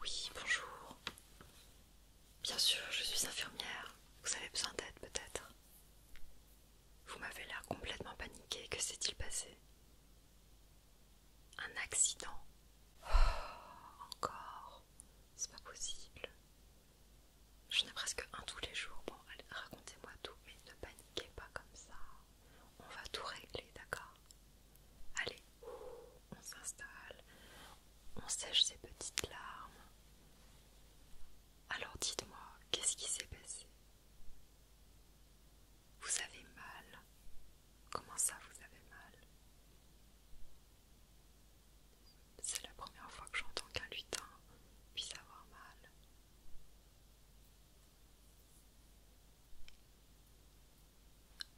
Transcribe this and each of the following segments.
Oui, bonjour. Bien sûr, je suis infirmière. Vous avez besoin d'aide peut-être Vous m'avez l'air complètement paniquée. Que s'est-il passé Un accident oh, Encore C'est pas possible. Je ai presque un tous les jours. Bon, racontez-moi tout, mais ne paniquez pas comme ça. On va tout régler, d'accord Allez, on s'installe, on sèche ses petites larmes. Alors dites-moi, qu'est-ce qui s'est passé Vous avez mal Comment ça, vous avez mal C'est la première fois que j'entends qu'un lutin puisse avoir mal.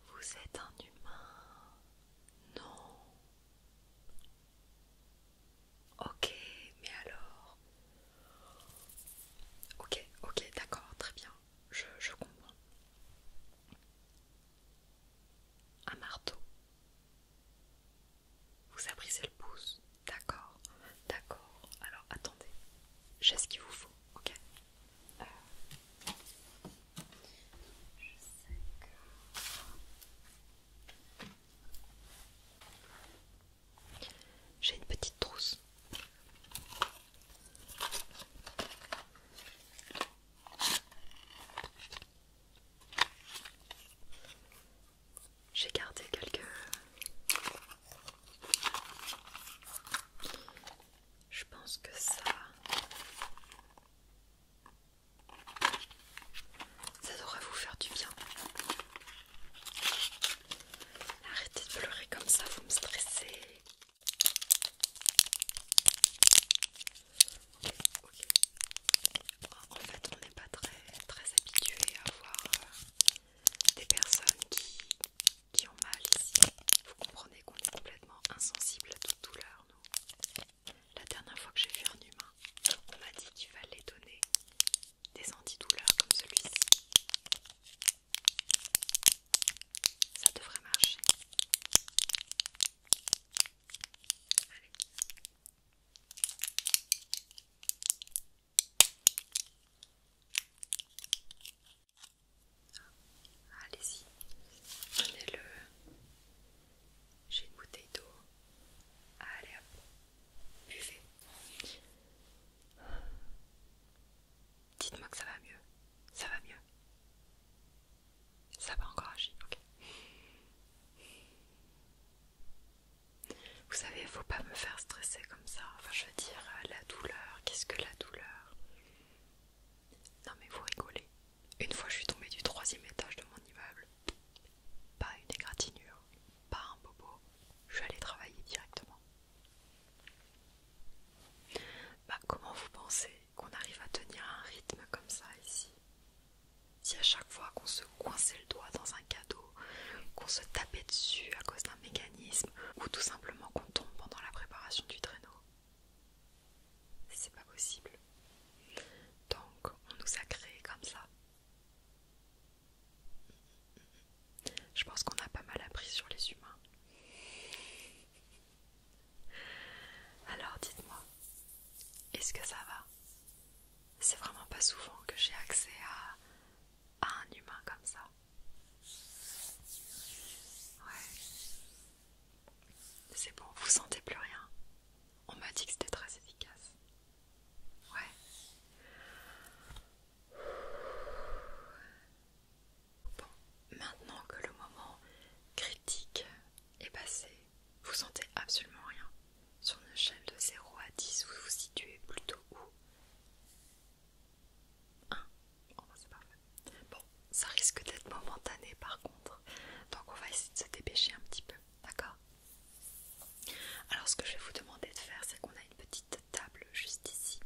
Vous êtes un humain. Non. Ok, mais alors... Ok, ok, d'accord, très bien. Je, je comprends. Un marteau. Vous abrisez le pouce. D'accord, d'accord. Alors attendez. J'ai ce qu'il vous faut, ok j'ai une petite trousse. J'ai gardé quelques je pense que ça... Ça devrait vous faire du bien. Arrêtez de pleurer comme ça, vous me stressez. En fait, on n'est pas très, très habitué à voir euh, des personnes qui qui ont mal ici. Vous comprenez qu'on est complètement insensible à toute douleur, nous. La dernière fois que j'ai vu un humain, on m'a dit qu'il fallait donner des antidouleurs comme celui-ci. Ça devrait marcher. Allez. Allez-y, prenez-le. J'ai une bouteille d'eau. Allez hop, buvez. Dites-moi que ça va mieux. Ça va mieux. Ça va encore agir, ok. Vous savez, faut pas me faire stresser comme ça. Enfin, je veux dire, euh, la douleur, qu'est-ce que la douleur non mais vous rigolez. Une fois je suis tombée du troisième étage de mon immeuble. Pas une égratignure, pas un bobo. Je suis allée travailler directement. Bah comment vous pensez qu'on arrive à tenir un rythme comme ça ici Si à chaque fois qu'on se coinçait le doigt dans un cadeau, qu'on se tapait dessus à cause d'un mécanisme, ou tout simplement qu'on tombe pendant la préparation du traîneau, c'est pas possible. Donc, on nous a créés comme ça. Je pense qu'on a pas mal appris sur les humains. Alors, dites-moi, est-ce que ça va C'est vraiment pas souvent que j'ai accès à, à un humain comme ça. Ouais. C'est bon, vous sentez plus rien. On m'a dit que c'était très efficace. Ouais. Bon, maintenant que le moment critique est passé, vous sentez absolument rien. Sur une échelle de 0 à 10, vous vous situez plutôt où 1. Ah, bon, ça risque d'être momentané par contre. Donc on va essayer de se dépêcher un petit peu, d'accord Alors ce que je vais vous demander de faire, c'est qu'on a une petite table juste ici.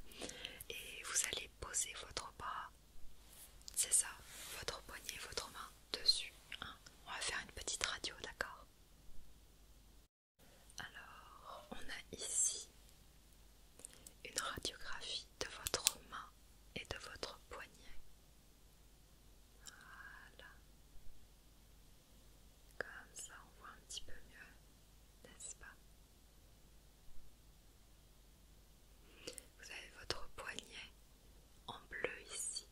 Et vous allez poser votre bras, c'est ça, votre poignet, votre main dessus. Hein. on va faire une petite radio, d'accord alors, on a ici une radiographie de votre main et de votre poignet. Voilà. Comme ça, on voit un petit peu mieux, n'est-ce pas Vous avez votre poignet en bleu ici.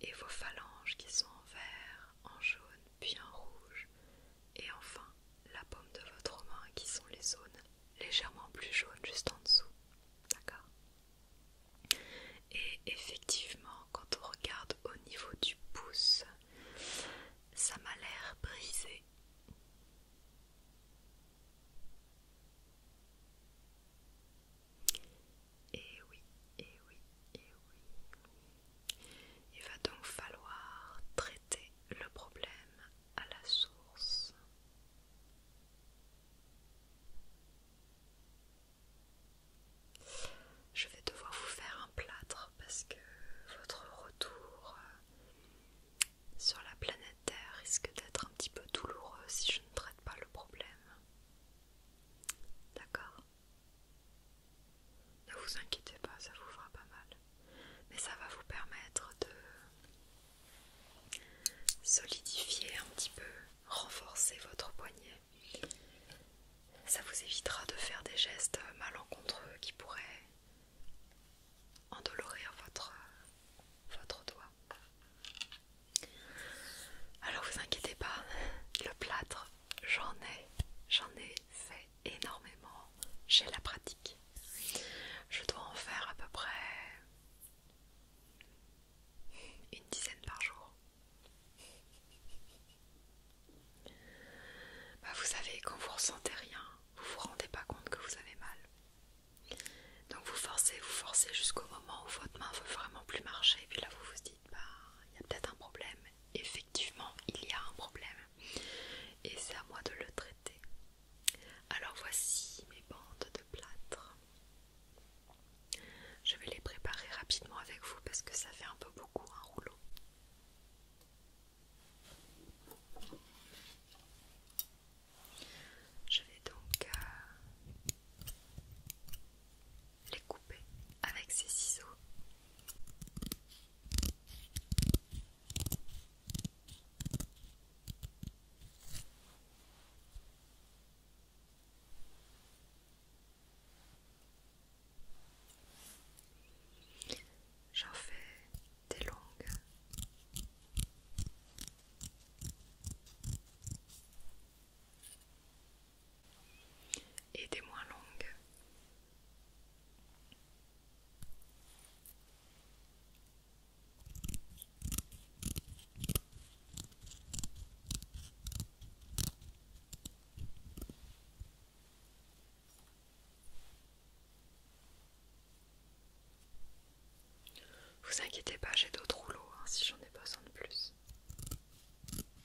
Et vos phalanges qui sont en vert, en jaune, puis en rouge, et enfin, la paume de votre main qui sont les zones légèrement plus jaunes juste en dessous. D'accord Et effectivement, quand on regarde au niveau du pouce, ça m'a l'air brisé. Et oui, et oui, et oui, il va donc falloir traiter le problème à la source. Je vais devoir vous faire un plâtre parce que votre retour euh, sur la planète Terre risque d'être un petit peu douloureux si je ne traite pas le problème. D'accord ne vous inquiétez pas, ça vous fera pas mal. Mais ça va vous permettre de solidifier un petit peu, renforcer votre poignet. Ça vous évitera de faire des gestes malencontreux qui pourraient endolorir votre, doigt. Alors ne vous inquiétez pas, le plâtre, j'en ai, j'en ai fait énormément chez la pratique. Je dois en faire à peu près une dizaine par jour. Bah vous savez, quand vous ressentez rien, vous vous rendez pas compte que vous avez mal. Donc vous forcez, vous forcez jusqu'au moment où votre main veut vraiment plus marcher, et puis là vous vous dites bah, il y a peut-être un problème. Effectivement, il y a un problème. Et c'est à moi de le traiter. Alors voici mes bandes de plâtre. Je vais les préparer rapidement avec vous parce que ça fait un peu beaucoup un rouleau. Je vais donc euh, les couper avec ses ciseaux. J'en fais des longues et des moins longues. Vous inquiétez pas, j'ai d'autres rouleaux hein, si j'en ai besoin de plus.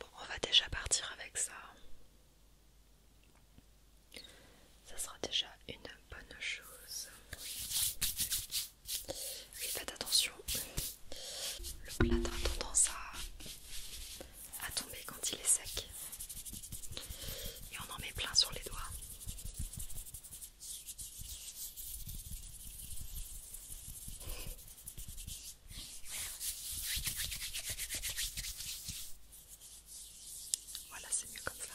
Bon, on va déjà partir avec ça. Ça sera déjà une bonne chose. faites attention. Le plat a tendance à à tomber quand il est sec. Et on en met plein sur les doigts. Voilà, c'est mieux comme ça.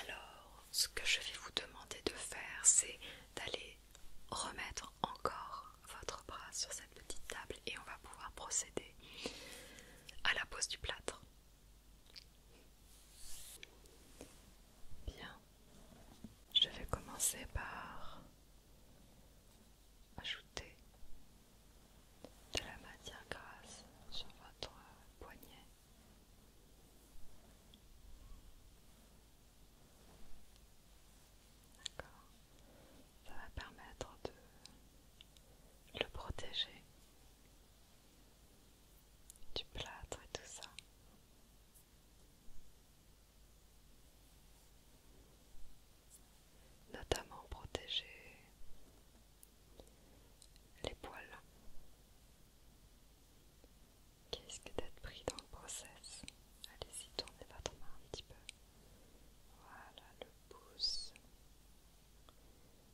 Alors, ce que je vais vous demander de faire, c'est d'aller remettre encore votre bras sur cette petite table et on va pouvoir procéder à la pose du plâtre. Bien, je vais commencer par ajouter de la matière grasse sur votre poignet. D'accord ça va permettre de le protéger du plâtre et tout ça. Notamment protéger les poils qui risquent d'être pris dans le process. Allez-y, tournez votre main un petit peu. Voilà, le pouce.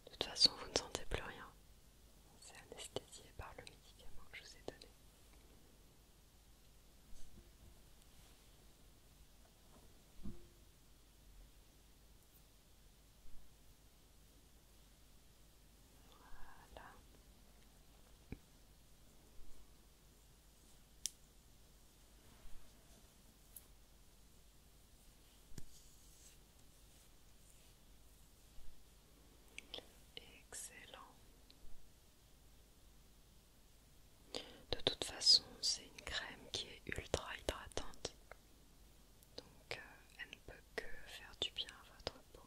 De toute façon, vous ne sentez plus rien. C'est anesthésié par le médicament que je vous ai donné. Voilà. Excellent. De toute façon, c'est une crème qui est ultra hydratante. Donc, euh, elle ne peut que faire du bien à votre peau.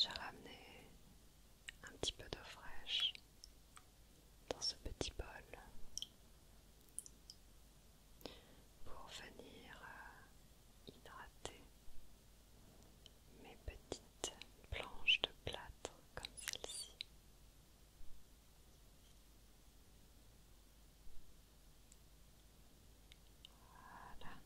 J'ai ramené un petit peu d'eau fraîche dans ce petit bol pour venir euh, hydrater mes petites planches de plâtre comme celle-ci. Voilà.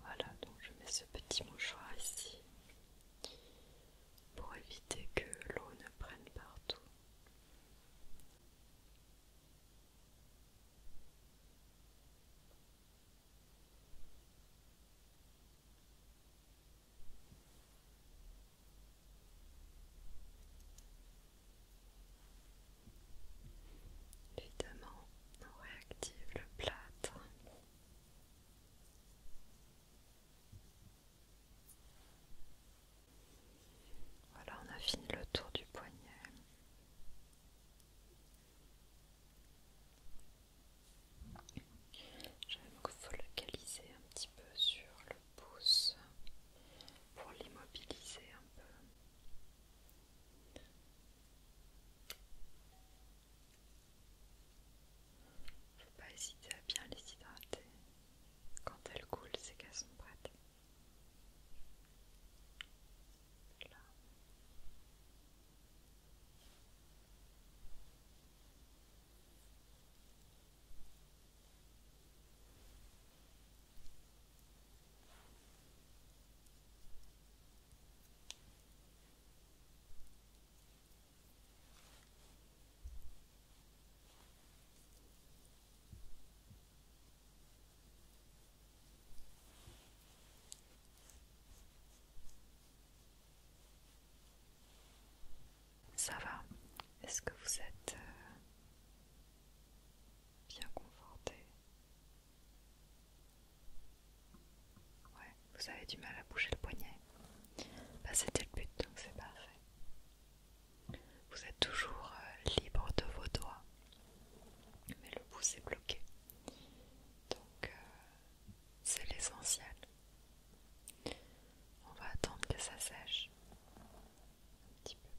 Voilà, donc je mets ce petit mouchoir ici pour éviter que l'eau ne prenne partout. Évidemment, on réactive le plâtre. Voilà, on a fini le tour du poignet. Je vais focalisé focaliser un petit peu sur le pouce pour l'immobiliser un peu. Faut pas hésiter à bien les hydrater. Quand elles coulent, c'est qu'elles sont prêtes. Là. Ça va Est-ce que vous êtes euh, bien conforté. Ouais, vous avez du mal à bouger le poignet. Bah, c'était le but, donc c'est parfait. Vous êtes toujours euh, libre de vos doigts, mais le pouce est bloqué. Donc, euh, c'est l'essentiel. On va attendre que ça sèche. Je vais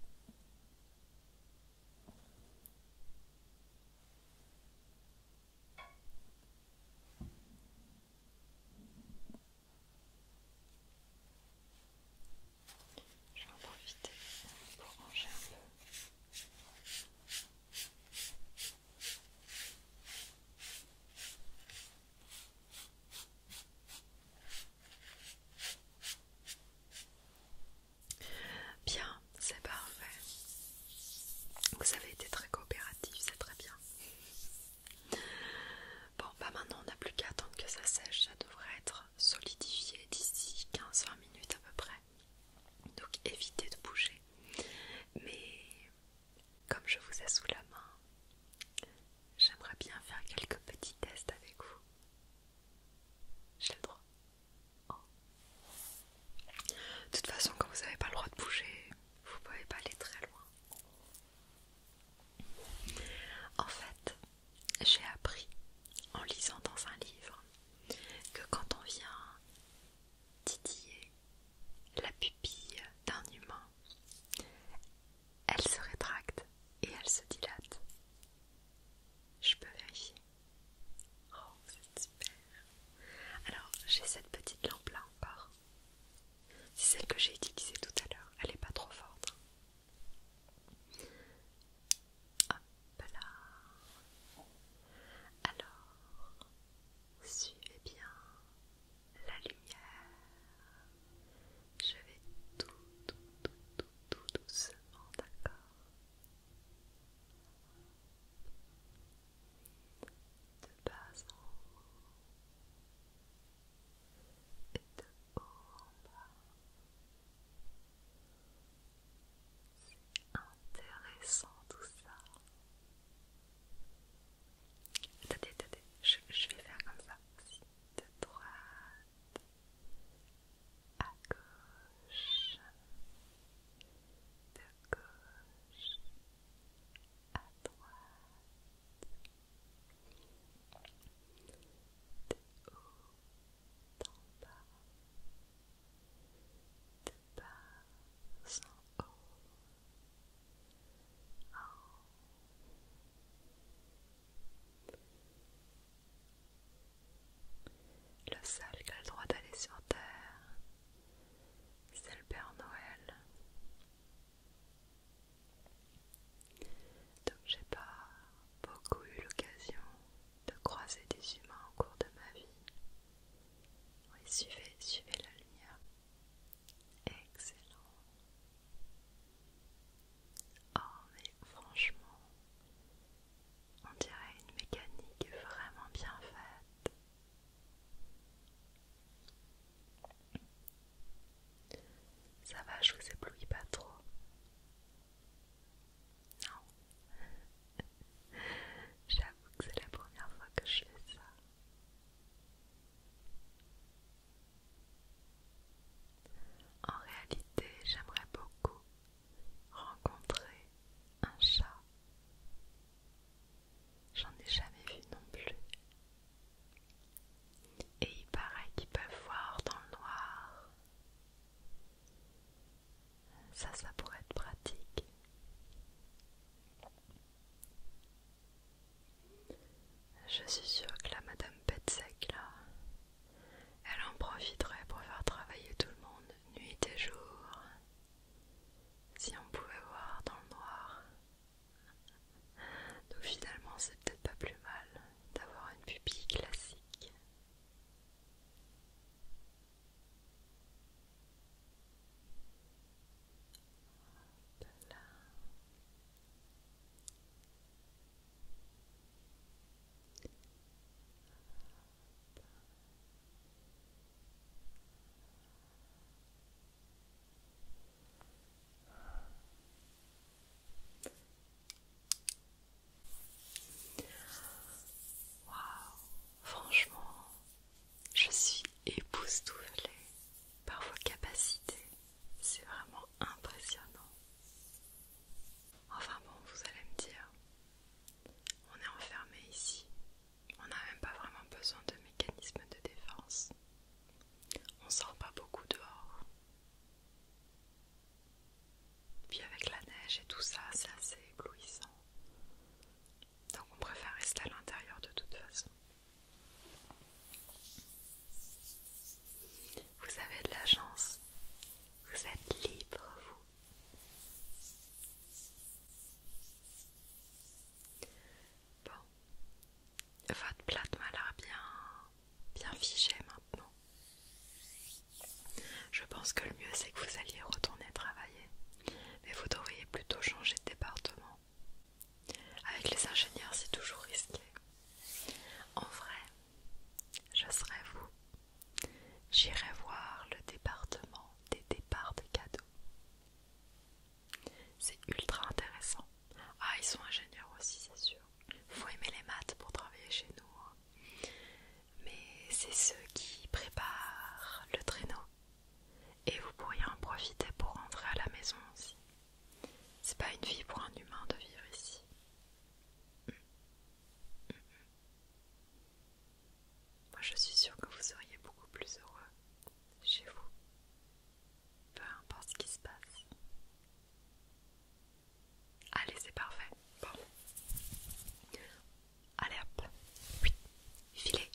en profiter pour ranger un peu. Bien, c'est parfait. Vous avez été très coopératif, c'est très bien. Bon, bah maintenant on n'a plus qu'à attendre que ça sèche, ça devrait être solidifié d'ici 15-20 minutes à peu près. Donc évitez de bouger. Mais comme je vous ai sous la main, J'aimerais bien faire quelques petits tests avec vous. J'ai le droit. Oh. De toute façon, quand vous n'avez pas le droit de bouger, vous ne pouvez pas aller très loin. En fait, j'ai appris en lisant dans un livre que quand on vient titiller la pupille d'un humain, elle se rétracte et elle se dilate. Je peux vérifier. Oh, c'est super. Alors, j'ai cette petite lampe là encore. C'est celle que j'ai utilisée tout à l'heure. Elle n'est pas trop forte. Hop là. Alors, suivez bien la lumière. Je vais tout, tout, tout, tout, tout doucement, d'accord De bas en haut et de haut en bas. C'est intéressant tout ça. Attendez, attendez, je, je vais faire comme ça aussi de droite à gauche, de gauche à droite, de haut en bas, de bas en haut. Le seul qui a le droit d'aller sur Terre, c'est le Père Noël. Donc j'ai pas beaucoup eu l'occasion de croiser des humains au cours de ma vie. suivez, suivez la lumière. Excellent. Oh mais franchement, on dirait une mécanique vraiment bien faite. Ça va, je vous éblouis pas trop. Non. J'avoue que c'est la première fois que je fais ça. En réalité, j'aimerais beaucoup rencontrer un chat. J'en ai jamais vu non plus. Et il paraît qu'ils peuvent voir dans le noir. Ça, ça pourrait être pratique. Je suis sûre que la Madame Petzek là, elle en profiterait pour faire travailler tout le monde, nuit et jour. Si on pouvait voir dans le noir. Donc finalement, c'est peut-être pas plus mal d'avoir une pupille classique franchement, je suis époustouflée par vos capacités. C'est vraiment impressionnant. Enfin bon, vous allez me dire, on est enfermé ici. On n'a même pas vraiment besoin de mécanismes de défense. On sort pas beaucoup dehors. Puis avec la neige et tout ça, c'est assez éblouissant. Donc on préfère rester à l'intérieur de toute façon. Vous avez de la chance. Vous êtes libre, vous. Bon. Votre plate m'a l'air bien, bien figée maintenant. Je pense que le mieux c'est que vous alliez retourner travailler, mais vous devriez plutôt changer de département avec les ingénieurs, c'est toujours risqué. En vrai, je serais vous. J'irai voir le département des départs des cadeaux. C'est ultra intéressant. Ah, ils sont ingénieurs aussi, c'est sûr. Faut aimer les maths pour travailler chez nous. Hein. Mais c'est ceux qui préparent le traîneau et vous pourriez en profiter pour rentrer à la maison aussi. C'est pas une vie pour un humain de vivre ici. Moi je suis sûre que vous seriez beaucoup plus heureux chez vous. Peu importe ce qui se passe. Allez, c'est parfait. Bon. Allez hop. Filez.